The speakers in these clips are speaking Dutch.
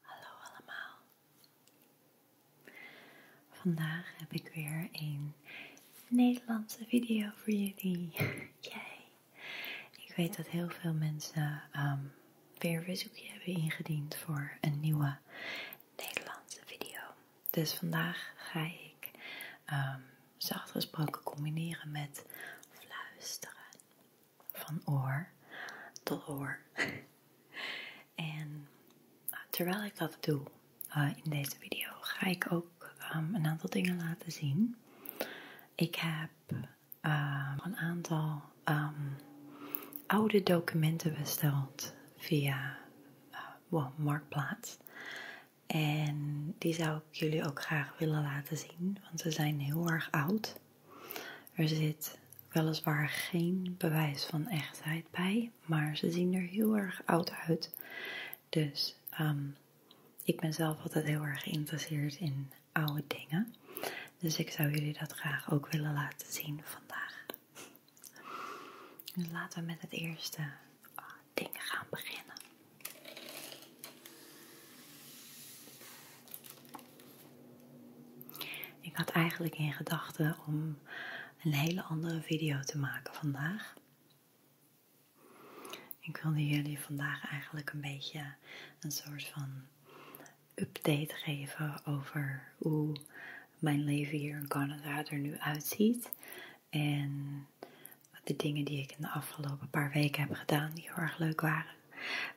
Hallo allemaal. Vandaag heb ik weer een Nederlandse video voor jullie. Yay! Ik weet dat heel veel mensen ehm, weer weer verzoekje hebben ingediend voor een nieuwe Nederlandse video. Dus vandaag ga ik ehm, zachtgesproken combineren met fluisteren van oor tot oor. en nou, terwijl ik dat doe eh, in deze video, ga ik ook ehm, een aantal dingen laten zien. Ik heb ehm, een aantal ehm, oude documenten besteld via uh, Marktplaats. En die zou ik jullie ook graag willen laten zien, want ze zijn heel erg oud. Er zit weliswaar geen bewijs van echtheid bij, maar ze zien er heel erg oud uit. Dus ehm, ik ben zelf altijd heel erg geïnteresseerd in oude dingen. Dus ik zou jullie dat graag ook willen laten zien vandaag. Dus laten we met het eerste ah, ding gaan beginnen. Ik had eigenlijk in gedachten om een hele andere video te maken vandaag. Ik wilde jullie vandaag eigenlijk een beetje een soort van update geven over hoe mijn leven hier in Canada er nu uitziet. En de dingen die ik in de afgelopen paar weken heb gedaan die heel erg leuk waren.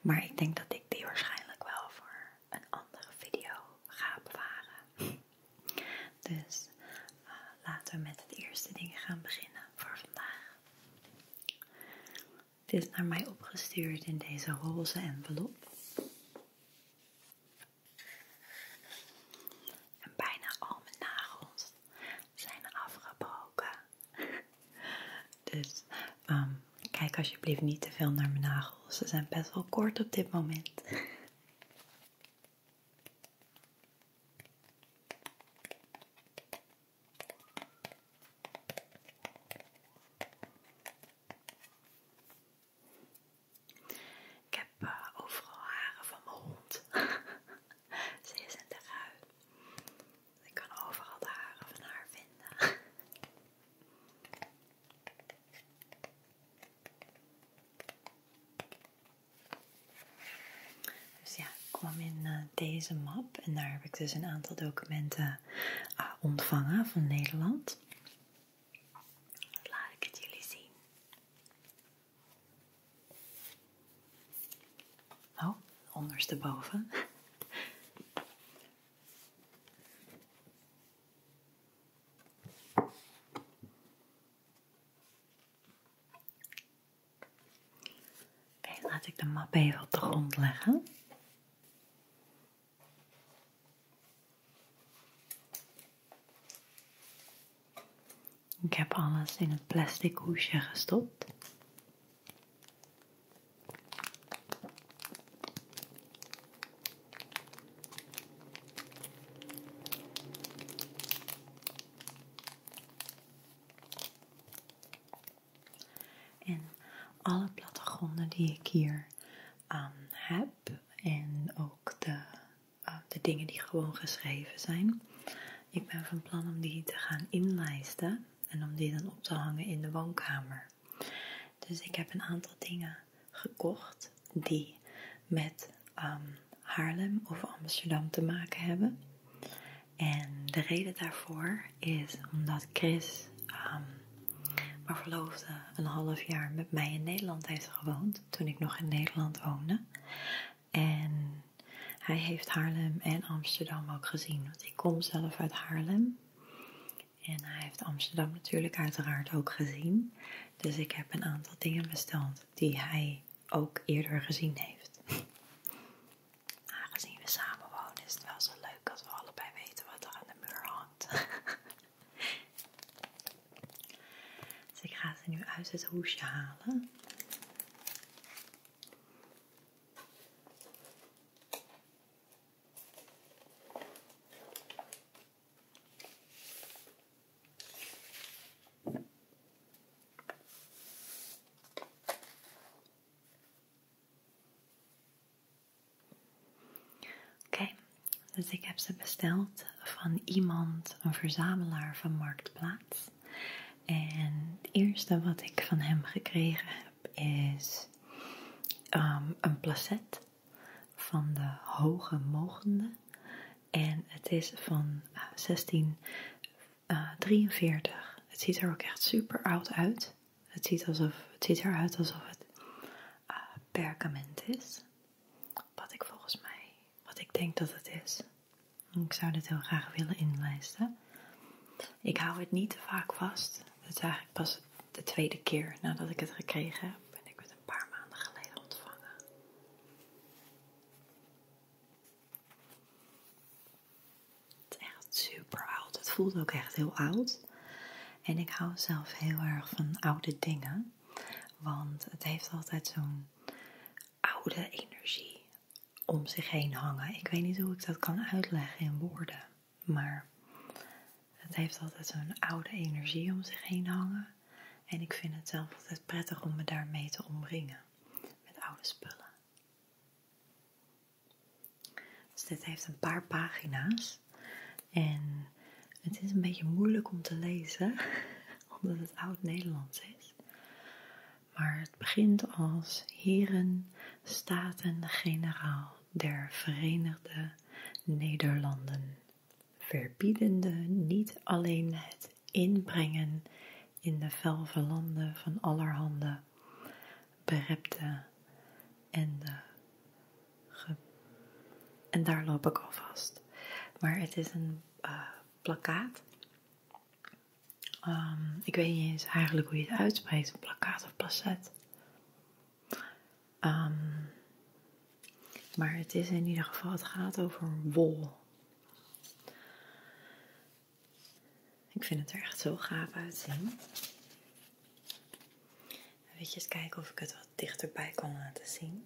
Maar ik denk dat ik die waarschijnlijk wel voor een andere video ga bewaren. Dus eh, laten we met het eerste ding gaan beginnen voor vandaag. Dit is naar mij opgestuurd in deze roze envelop. En bijna al mijn nagels zijn afgebroken Dus ehm, kijk alsjeblieft niet te veel naar mijn nagels. Ze zijn best wel kort op dit moment. Ik heb eh, overal haren van mijn hond. Ze is in de ik kan overal de haren van haar vinden. Dus ja, ik kwam in eh, deze map en daar heb ik dus een aantal documenten eh, ontvangen van Nederland. Laat ik het jullie zien. Oh, ondersteboven. Oké, laat ik de map even op de grond leggen. Ik heb alles in een plastic hoesje gestopt. En alle plattegronden die ik hier aan heb en ook de, eh, de dingen die gewoon geschreven zijn. Ik ben van plan om die te gaan inlijsten en om die dan op te hangen in de woonkamer. Dus ik heb een aantal dingen gekocht die met ehm, Haarlem of Amsterdam te maken hebben. En de reden daarvoor is omdat Chris, ehm, maar mijn verloofde, een half jaar met mij in Nederland heeft gewoond. Toen ik nog in Nederland woonde. En hij heeft Haarlem en Amsterdam ook gezien. Want ik kom zelf uit Haarlem. En hij heeft Amsterdam natuurlijk uiteraard ook gezien. Dus ik heb een aantal dingen besteld die hij ook eerder gezien heeft. Aangezien we samen wonen is het wel zo leuk als we allebei weten wat er aan de muur hangt. dus ik ga ze nu uit het hoesje halen. Oké, dus ik heb ze besteld van iemand, een verzamelaar van Marktplaats. En het eerste wat ik van hem gekregen is ehm, een placet van de hoge mogende. En het is van 1643. Eh, eh, het ziet er ook echt super oud uit. Het ziet, alsof, het ziet eruit alsof het eh, perkament is. Wat ik volgens mij, wat ik denk dat het is. Ik zou dit heel graag willen inlijsten. Ik hou het niet te vaak vast. Het is eigenlijk pas de tweede keer nadat ik het gekregen heb. En ik met een paar maanden geleden ontvangen. Het is echt super oud. Het voelt ook echt heel oud. En ik hou zelf heel erg van oude dingen. Want het heeft altijd zo'n oude energie om zich heen hangen. Ik weet niet hoe ik dat kan uitleggen in woorden. Maar het heeft altijd zo'n oude energie om zich heen hangen. En ik vind het zelf altijd prettig om me daarmee te omringen. Met oude spullen. Dus dit heeft een paar pagina's. En het is een beetje moeilijk om te lezen. Omdat het oud-Nederlands is. Maar het begint als Heren, Staten, Generaal der Verenigde Nederlanden, verbiedende niet alleen het inbrengen in de velve van allerhande berepte en ge... en daar loop ik al vast. Maar het is een eh, plakkaat. Ehm, ik weet niet eens eigenlijk hoe je het uitspreekt, plakkaat of placet. Ehm, maar het is in ieder geval, het gaat over wol. Ik vind het er echt zo gaaf uitzien. Weet je, eens kijken of ik het wat dichterbij kan laten zien.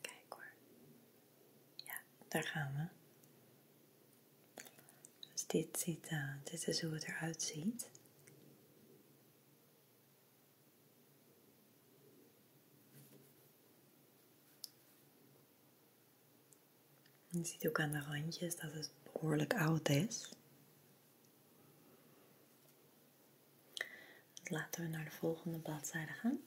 Kijk hoor. Ja, daar gaan we. Dus dit, ziet, eh, dit is hoe het eruit ziet. Je ziet ook aan de randjes dat het behoorlijk oud is. Laten we naar de volgende bladzijde gaan.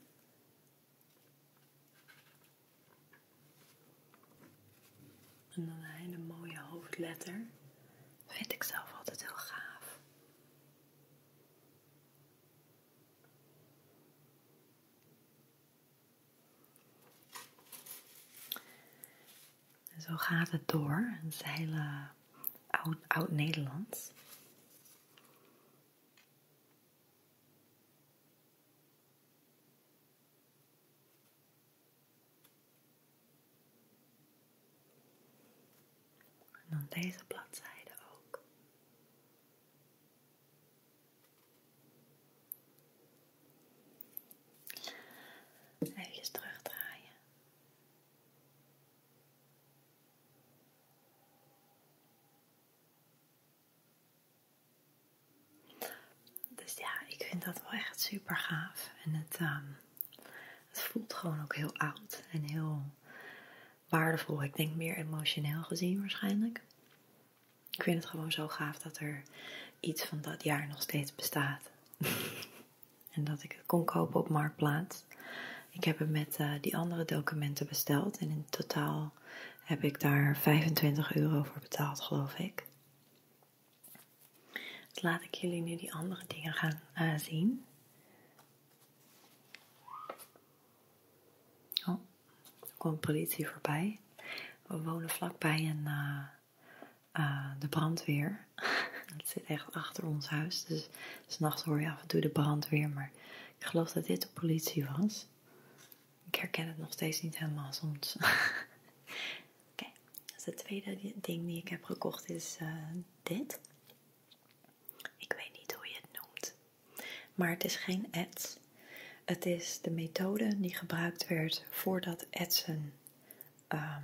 En dan een hele mooie hoofdletter. Vind ik zelf altijd heel gaaf. En zo gaat het door. een hele eh, oud-Nederlands. oud nederlands dan deze bladzijde ook. Even terugdraaien. Dus ja, ik vind dat wel echt super gaaf. En ehm, het, voelt gewoon ook heel oud en heel waardevol. Ik denk meer emotioneel gezien waarschijnlijk. Ik vind het gewoon zo gaaf dat er iets van dat jaar nog steeds bestaat. en dat ik het kon kopen op Marktplaats. Ik heb het met eh, die andere documenten besteld. En in totaal heb ik daar 25 euro voor betaald, geloof ik. Laten dus laat ik jullie nu die andere dingen gaan eh, zien. Oh, er komt politie voorbij. We wonen vlakbij een, eh, eh, de brandweer. Het zit echt achter ons huis. Dus s'nachts hoor je af en toe de brandweer. Maar ik geloof dat dit de politie was. Ik herken het nog steeds niet helemaal soms. Oké, dus het tweede ding die ik heb gekocht is eh, dit. Ik weet niet hoe je het noemt, maar het is geen ads. Het is de methode die gebruikt werd voordat etsen ehm,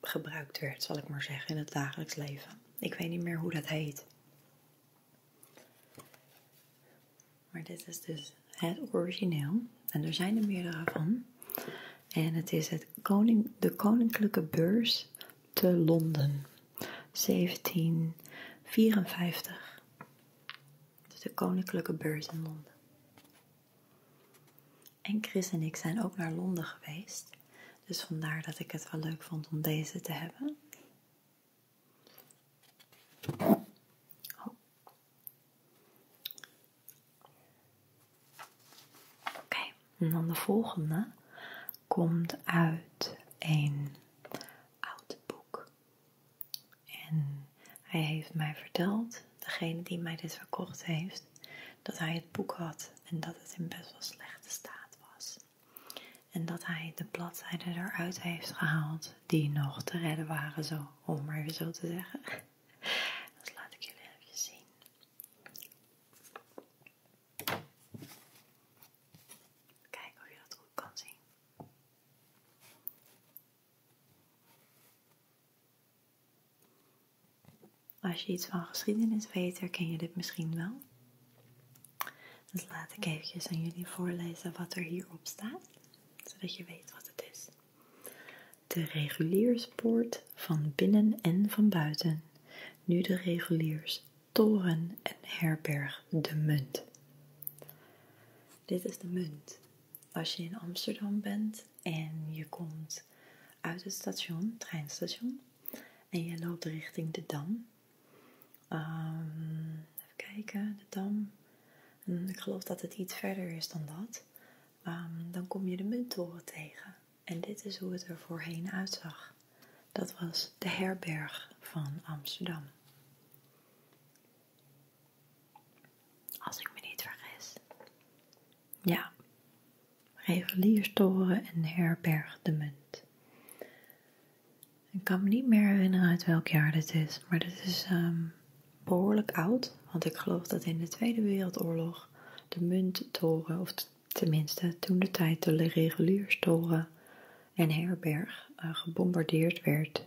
gebruikt werd, zal ik maar zeggen, in het dagelijks leven. Ik weet niet meer hoe dat heet. Maar dit is dus het origineel. En er zijn er meerdere van. En het is het koning, de Koninklijke Beurs te Londen. 1754. Dus de Koninklijke Beurs in Londen. En Chris en ik zijn ook naar Londen geweest. Dus vandaar dat ik het wel leuk vond om deze te hebben. Oh, Oké, en dan de volgende komt uit een oud boek. En hij heeft mij verteld, degene die mij dit verkocht heeft, dat hij het boek had en dat het in best wel slechte staat was. En dat hij de bladzijden eruit heeft gehaald die nog te redden waren zo om maar even zo te zeggen. Dus laat ik jullie even zien. Kijken of je dat goed kan zien. Als je iets van geschiedenis weet, ken je dit misschien wel. Dus laat ik eventjes aan jullie voorlezen wat er hierop staat, zodat je weet wat het is. De regulierspoort van binnen en van buiten, nu de reguliers toren en herberg de munt. Dit is de munt. Als je in Amsterdam bent en je komt uit het station, treinstation, en je loopt richting de Dam. Ehm, even kijken, de Dam. Mm, ik geloof dat het iets verder is dan dat, ehm, dan kom je de Munttoren tegen. En dit is hoe het er voorheen uitzag. Dat was de herberg van Amsterdam. Als ik me niet vergis. Ja, Revelierstoren en herberg de munt. Ik kan me niet meer herinneren uit welk jaar dit is, maar dit is ehm, behoorlijk oud, want ik geloof dat in de Tweede Wereldoorlog de munttoren, of tenminste toen de tijd de regulierstoren en herberg, eh, gebombardeerd werd.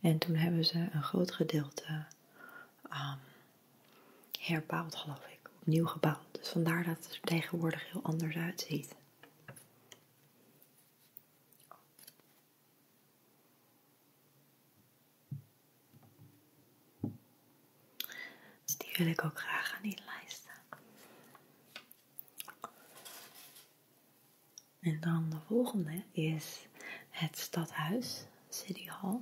En toen hebben ze een groot gedeelte ehm, herbouwd, geloof ik, opnieuw gebouwd. Dus vandaar dat het er tegenwoordig heel anders uitziet. Dus die wil ik ook graag aan die lijst En dan de volgende is het stadhuis, City Hall.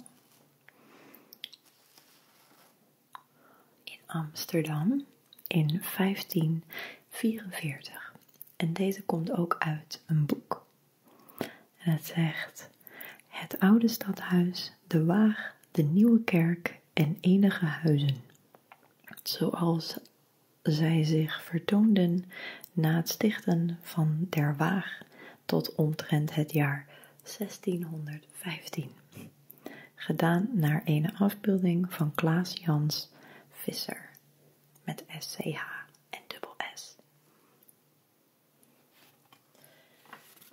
In Amsterdam in 1544. En deze komt ook uit een boek het zegt: Het oude stadhuis, de Waag, de nieuwe kerk en enige huizen. Zoals zij zich vertoonden na het stichten van der Waag tot omtrent het jaar 1615. Gedaan naar een afbeelding van Klaas Jans Visser met SCH en dubbel S.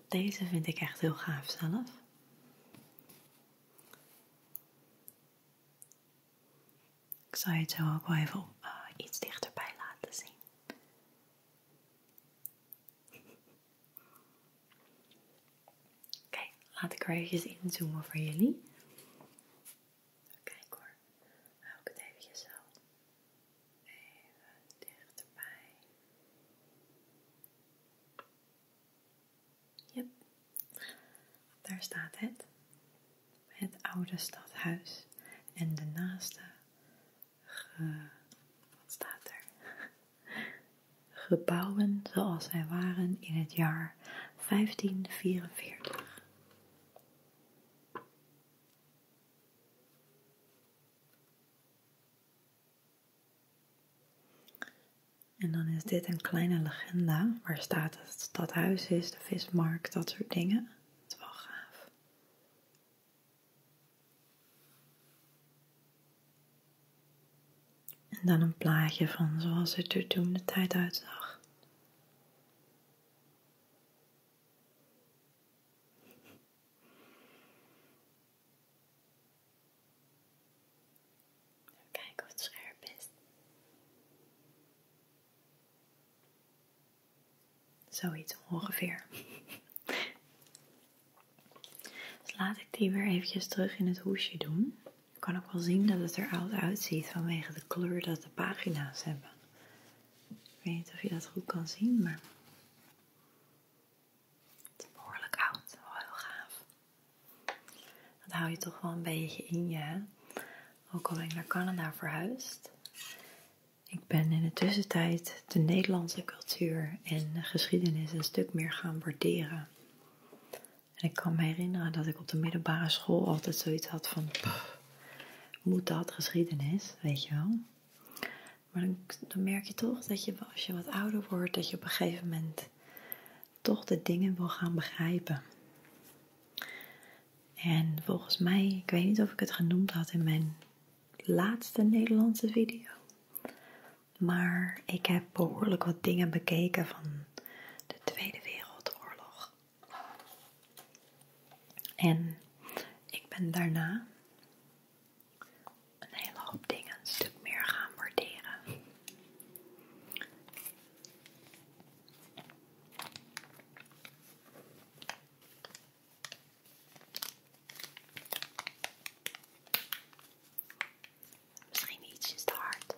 Deze vind ik echt heel gaaf zelf. Ik zal je het zo ook wel even eh, iets dichterbij laten zien. Oké, laat ik er even inzoomen voor jullie. Kijk hoor, hou het even zo even dichterbij. Yep, daar staat het. Het oude stadhuis en de naaste wat staat er? Gebouwen zoals zij waren in het jaar 1544. En dan is dit een kleine legenda waar staat dat het stadhuis is, de vismarkt, dat soort dingen. Dat is wel gaaf. En dan een plaatje van zoals het er toen de tijd uitzag. Even kijken of het scherp is. Zoiets ongeveer. Dus laat ik die weer eventjes terug in het hoesje doen. Je kan ook wel zien dat het er oud uitziet vanwege de kleur dat de pagina's hebben. Ik weet niet of je dat goed kan zien, maar het is behoorlijk oud. Wel heel gaaf. Dat hou je toch wel een beetje in je. Hè? Ook al ben ik naar Canada verhuisd. Ik ben in de tussentijd de Nederlandse cultuur en geschiedenis een stuk meer gaan waarderen. En ik kan me herinneren dat ik op de middelbare school altijd zoiets had van moet dat geschiedenis, weet je wel. Maar dan, merk je toch dat je als je wat ouder wordt, dat je op een gegeven moment toch de dingen wil gaan begrijpen. En volgens mij, ik weet niet of ik het genoemd had in mijn laatste Nederlandse video. Maar ik heb behoorlijk wat dingen bekeken van de Tweede Wereldoorlog. En ik ben daarna een hele hoop dingen een stuk meer gaan borderen. Misschien ietsjes te hard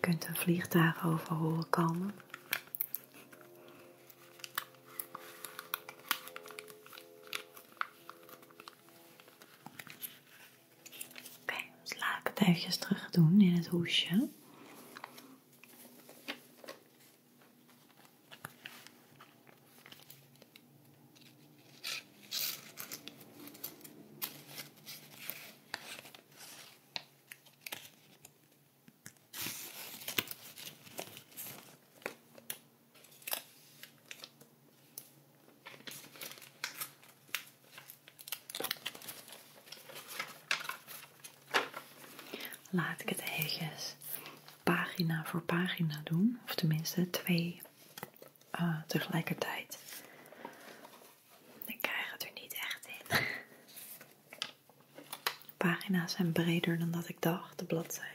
kunt een vliegtuig over komen. Oké, okay, dus laat het eventjes terug doen in het hoesje. Laat ik het even pagina voor pagina doen, of tenminste twee eh, tegelijkertijd. Ik krijg het er niet echt in. De Pagina's zijn breder dan dat ik dacht, de bladzijden.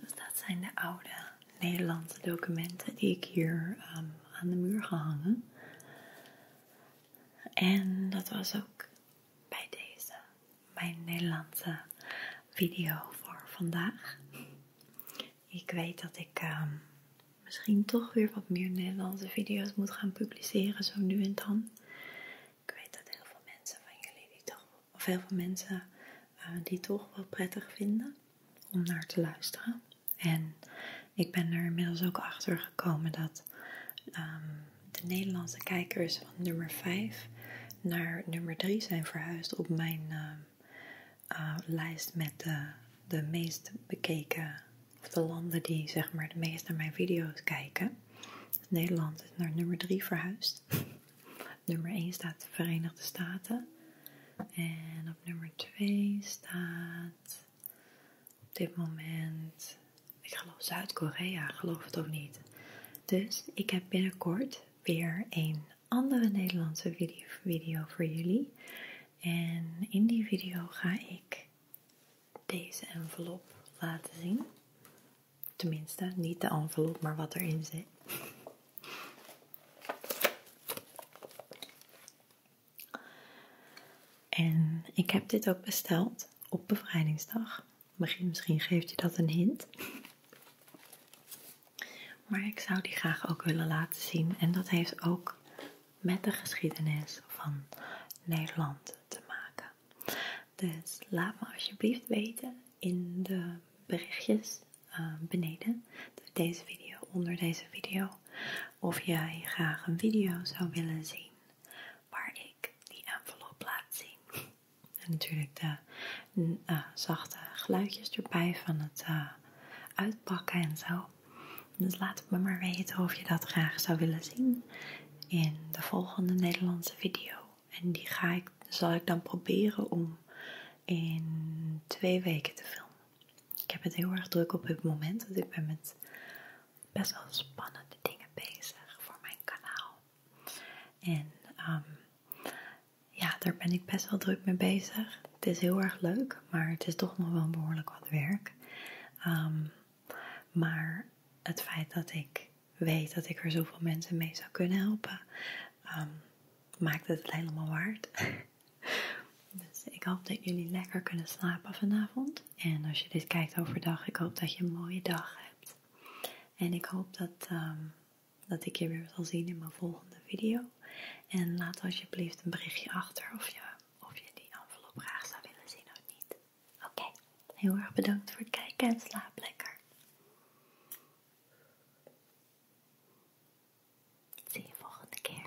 Dus dat zijn de oude Nederlandse documenten die ik hier ehm, aan de muur hangen. En dat was ook bij deze mijn Nederlandse video voor vandaag. Ik weet dat ik ehm, misschien toch weer wat meer Nederlandse video's moet gaan publiceren, zo nu en dan. Ik weet dat heel veel mensen van jullie die toch, of heel veel mensen eh, die toch wel prettig vinden om naar te luisteren. En ik ben er inmiddels ook achter komen dat ehm, de Nederlandse kijkers van nummer 5 naar nummer 3 zijn verhuisd op mijn ehm, eh, lijst met de, de meest bekeken, of de landen die zeg maar de meest naar mijn video's kijken. Nederland is naar nummer 3 verhuisd. nummer 1 staat de Verenigde Staten. En op nummer 2 staat op dit moment, ik geloof Zuid-Korea, geloof het of niet. Dus ik heb binnenkort weer een andere Nederlandse video, video voor jullie. En in die video ga ik deze envelop laten zien. Tenminste, niet de envelop, maar wat erin zit. En ik heb dit ook besteld op bevrijdingsdag. Misschien geeft je dat een hint. Maar ik zou die graag ook willen laten zien. En dat heeft ook met de geschiedenis van Nederland te maken. Dus laat me alsjeblieft weten in de berichtjes eh, beneden deze video, onder deze video, of jij graag een video zou willen zien waar ik die envelop laat zien. En natuurlijk de eh, zachte geluidjes erbij van het eh, uitpakken en zo. Dus laat me maar weten of je dat graag zou willen zien in de volgende Nederlandse video. En die ga ik, zal ik dan proberen om in twee weken te filmen. Ik heb het heel erg druk op het moment, want ik ben met best wel spannende dingen bezig voor mijn kanaal. En ehm, ja, daar ben ik best wel druk mee bezig. Het is heel erg leuk, maar het is toch nog wel behoorlijk wat werk. Ehm, maar het feit dat ik weet dat ik er zoveel mensen mee zou kunnen helpen, ehm, maakt het helemaal waard. dus ik hoop dat jullie lekker kunnen slapen vanavond. En als je dit kijkt overdag, ik hoop dat je een mooie dag hebt. En ik hoop dat, ehm, dat ik je weer zal zien in mijn volgende video. En laat alsjeblieft een berichtje achter of je, of je die envelop graag zou willen zien of niet. Oké, heel erg bedankt voor het kijken en slaap lekker. Zie je volgende keer.